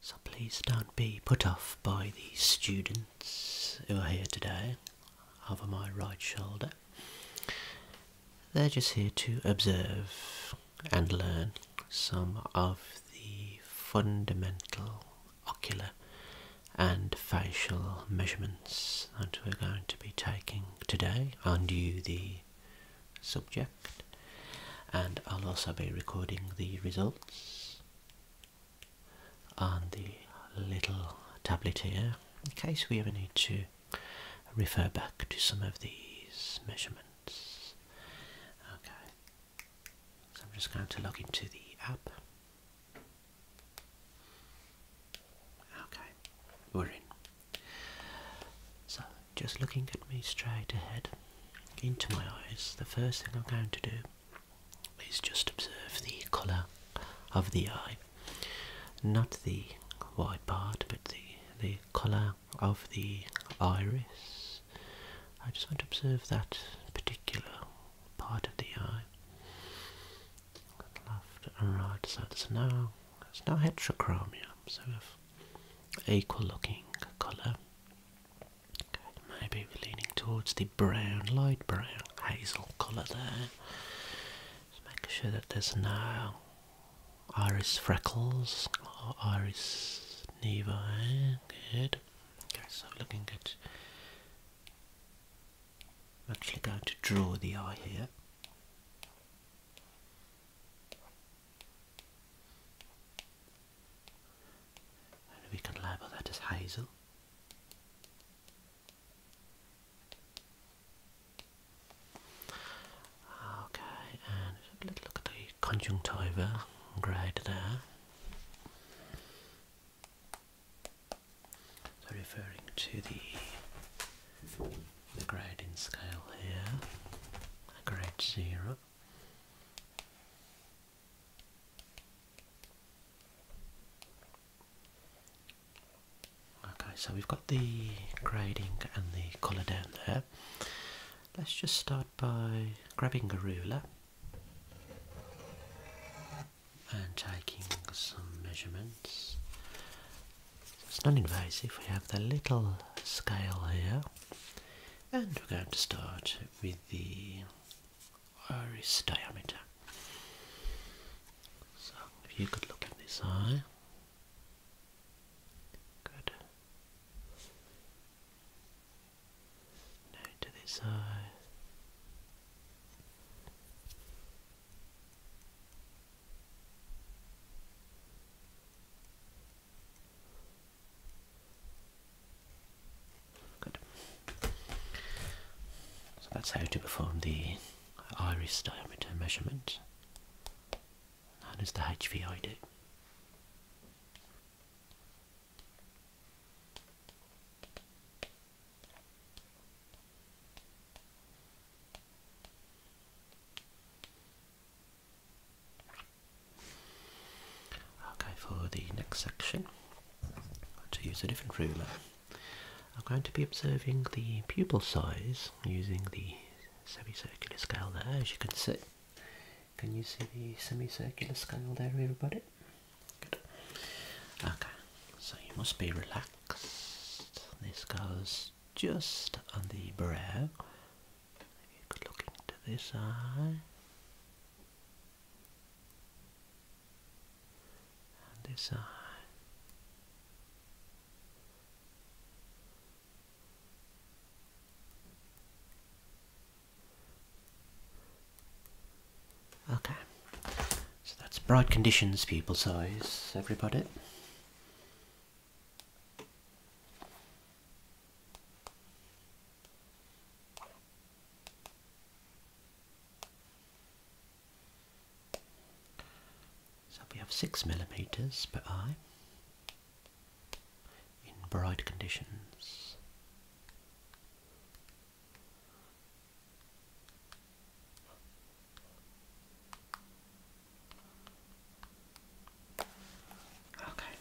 So please don't be put off by the students who are here today over my right shoulder. They're just here to observe and learn some of the fundamental ocular and facial measurements that we're going to be taking today. I knew the subject and I'll also be recording the results on the little tablet here in case we ever need to refer back to some of these measurements. Okay, so I'm just going to log into the app. Okay, we're in. So just looking at me straight ahead into my eyes, the first thing I'm going to do is just observe the colour of the eye. Not the white part, but the, the colour of the iris. I just want to observe that particular part of the eye. Left and right, so there's no, there's no heterochromia, so we have equal looking colour Maybe we're leaning towards the brown, light brown, hazel colour there. Just making sure that there's no iris freckles or iris nevi. Good. Okay, so looking at. actually going to draw the eye here we can label that as hazel. Okay, and let's look at the conjunctiva grade So referring to the the grading scale here, grade zero. Okay, so we've got the grading and the colour down there. Let's just start by grabbing a ruler and taking some measurements. It's non invasive, we have the little scale here, and we're going to start with the iris diameter. So if you could look at this eye. Good. Now to this eye. Good. So that's how to perform the iris diameter measurement. That is the HVID. Okay, for the next section, I'm going to use a different ruler. I'm going to be observing the pupil size using the semicircular scale there, as you can see. Can you see the semicircular scale there, everybody? Okay, so you must be relaxed. This goes just on the brow, look into this eye. this eye. Okay, so that's bright conditions pupil size, everybody. So we have six millimeters per eye in bright conditions. Okay,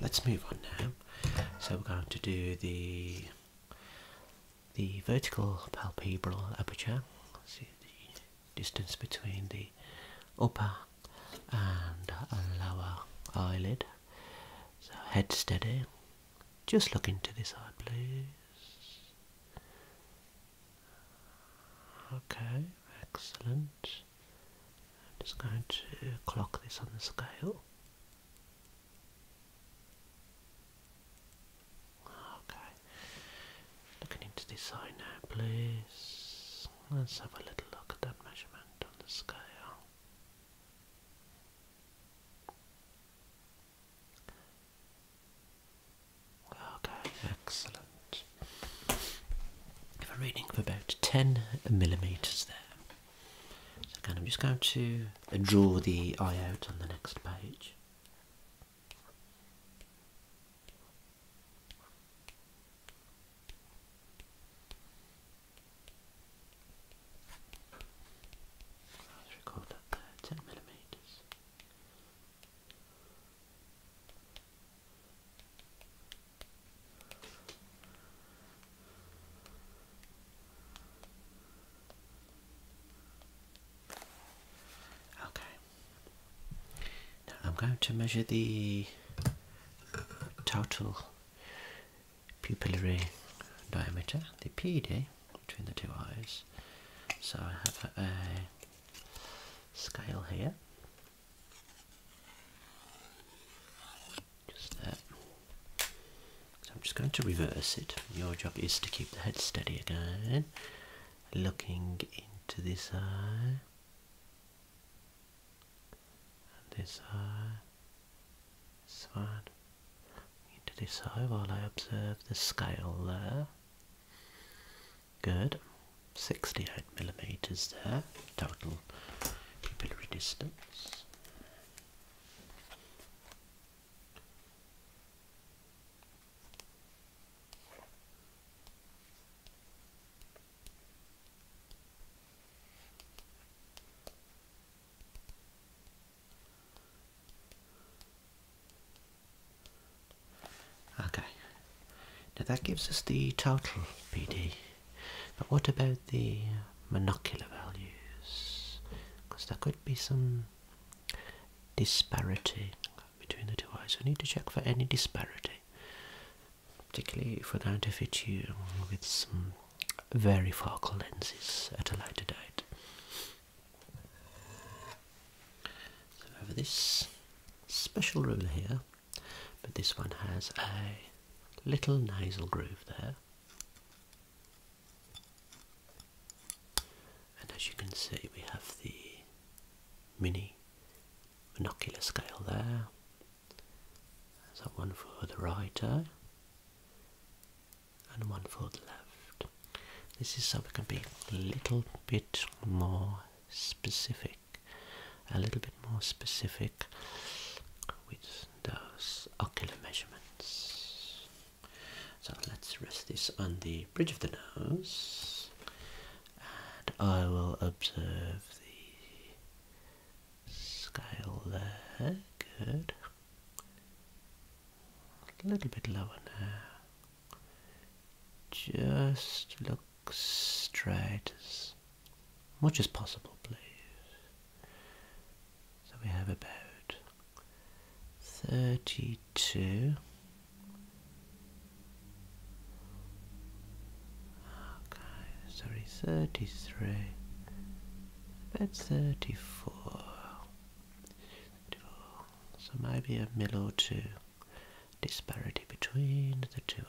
let's move on now. So we're going to do the the vertical palpebral aperture. See the distance between the upper and lower eyelid. So head steady. Just look into this eye, please. Okay, excellent. I'm just going to clock this on the scale. Okay, looking into this eye now, please. Let's have a little look at that measurement on the scale. Okay, excellent. If i reading for about 10 millimetres there again, I'm just going to draw the eye out on the next page. Let's record that there, 10 millimeters. Okay. I'm going to measure the total pupillary diameter, the PD, between the two eyes. So I have a scale here just that. So I'm just going to reverse it. Your job is to keep the head steady again. Looking into this eye. And this eye. This one. Into this eye while I observe the scale there. Good. 68. 9 millimeters there, total pupilary distance. Okay, now that gives us the total PD. But what about the monocular values? Because there could be some disparity between the two eyes. We need to check for any disparity, particularly if we're going to fit you with some very focal lenses at a later date. So over this special ruler here, but this one has a little nasal groove there. And as you can see, we have the mini monocular scale there. There's that one for the right eye and one for the left. This is so we can be a little bit more specific a little bit more specific with those ocular measurements. So let's rest this on the bridge of the nose and I will observe the scale there. Good. A little bit lower now. Just look straight much as possible, please. So we have about 32. Okay, sorry, 33. About 34. 34. So maybe a mill or two disparity between the two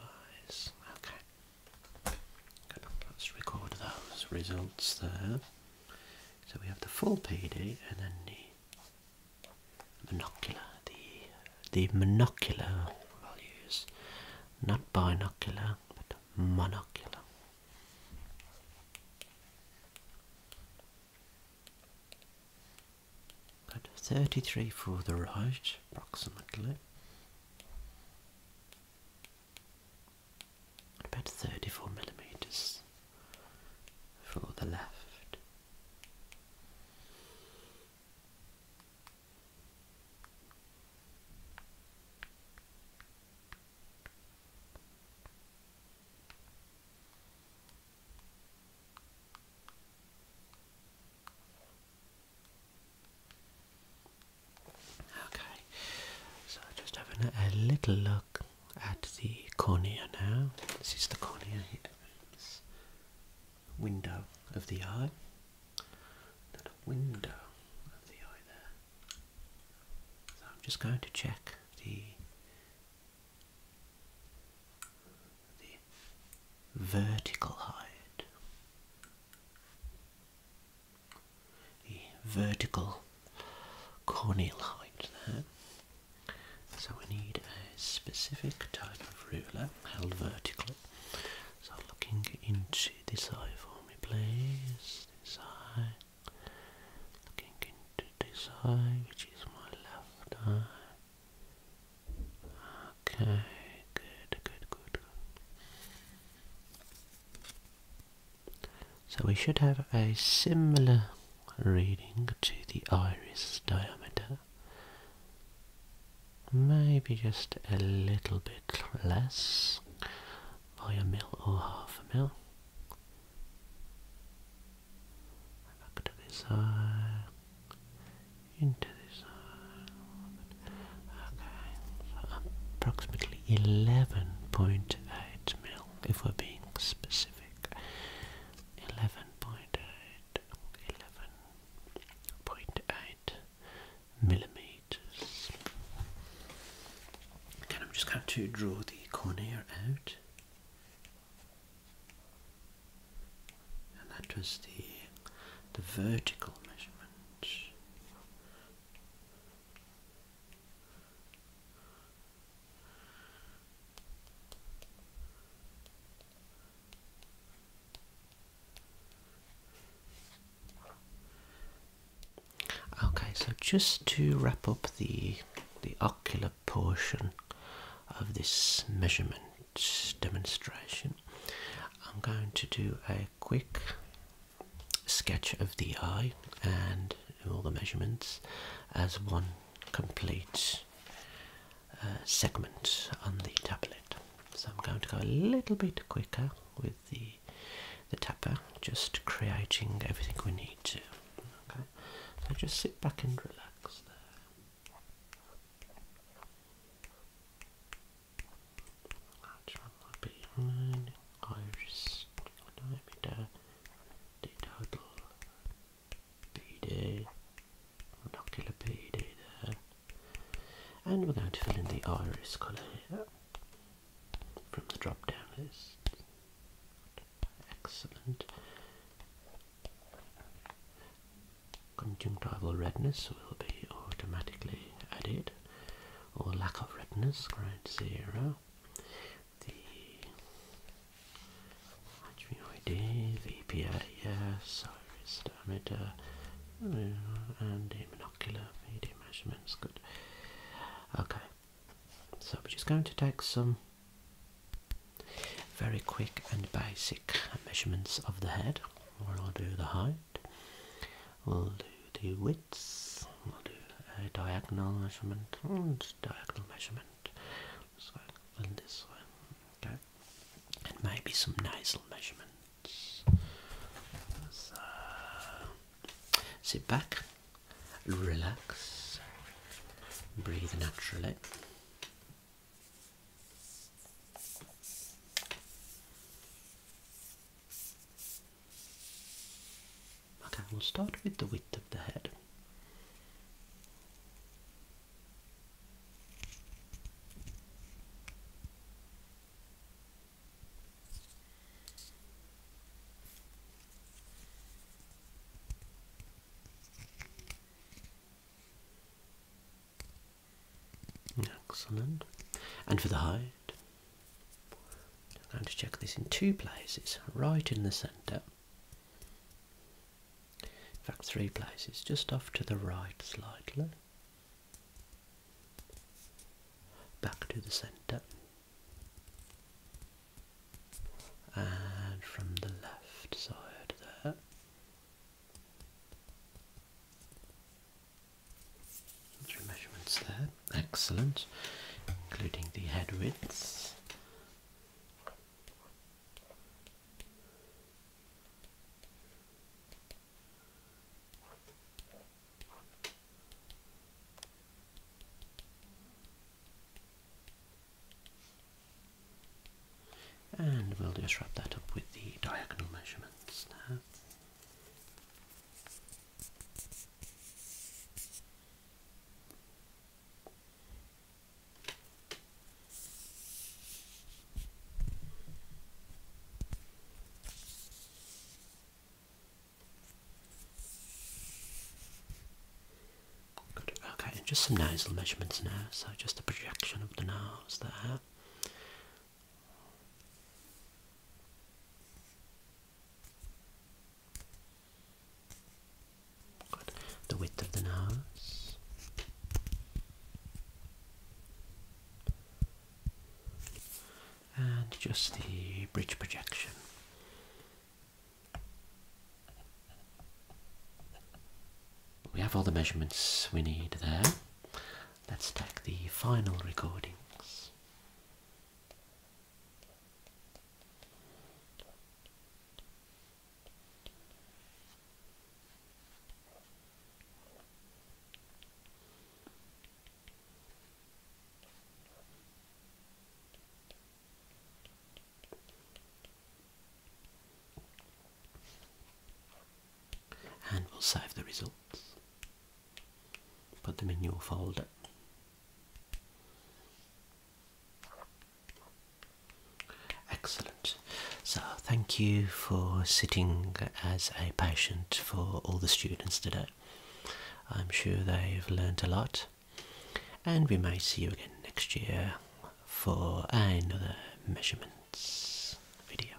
eyes. Okay. Let's record those results there. So we have the full PD and then the monocular, the, the monocular values, not binocular but monocular. At 33 for the right, approximately about 34 millimeters for the left. Okay, so just having a, little look at the cornea now. This is the cornea here, window of the eye. That window of the eye there. So I'm just going to check the the vertical height the vertical corneal height there. So we need a specific type of ruler held vertically. So looking into this eye for me please, this eye, looking into this eye which is my left eye. Ah. Okay, good, good, good, So we should have a similar reading to the iris diameter. Maybe just a little bit less by a mil or half a mil. Back to this eye, Okay, approximately 11.8 mil, if we're being specific. 11.8, millimeters. Okay, I'm just going to draw the cornea out. And that was the the vertical measurement. Okay, so just to wrap up the the ocular portion of this measurement demonstration, I'm going to do a quick sketch of the eye and all the measurements as one complete uh, segment on the tablet. So I'm going to go a little bit quicker with the the tapper, just creating everything we need to. Okay, so just sit back and relax there. That's one diameter the total PD monocular PD there. And we're going to fill in the iris colour here from the drop down list. Excellent. Conjunctival redness will be automatically added or lack of redness, grade 0. The HVID, the PAS, iris diameter, uh, and the monocular VD measurements. Good. Okay, so we're just going to take some very quick and basic measurements of the head, or I'll do the height, We'll do the widths. We'll do a diagonal measurement oh, and diagonal measurement. So and this one, okay. And maybe some nasal measurements. So sit back, relax, breathe naturally. Okay, we'll start with the width of the head. Excellent. And for the hide, I'm going to check this in two places, right in the centre. In fact, three places, just off to the right slightly. Back to the centre. And from the left side there. Three measurements there, excellent, including the head widths. And we'll just wrap that up with the diagonal measurements now. Okay, just some nasal measurements now. So just a projection of the nose there. The width of the nose. And just the bridge projection. We have all the measurements we need there. Let's take the final recordings and we'll save the results. Put them in your folder. Excellent. So thank you for sitting as a patient for all the students today. I'm sure they've learnt a lot and we may see you again next year for another measurements video.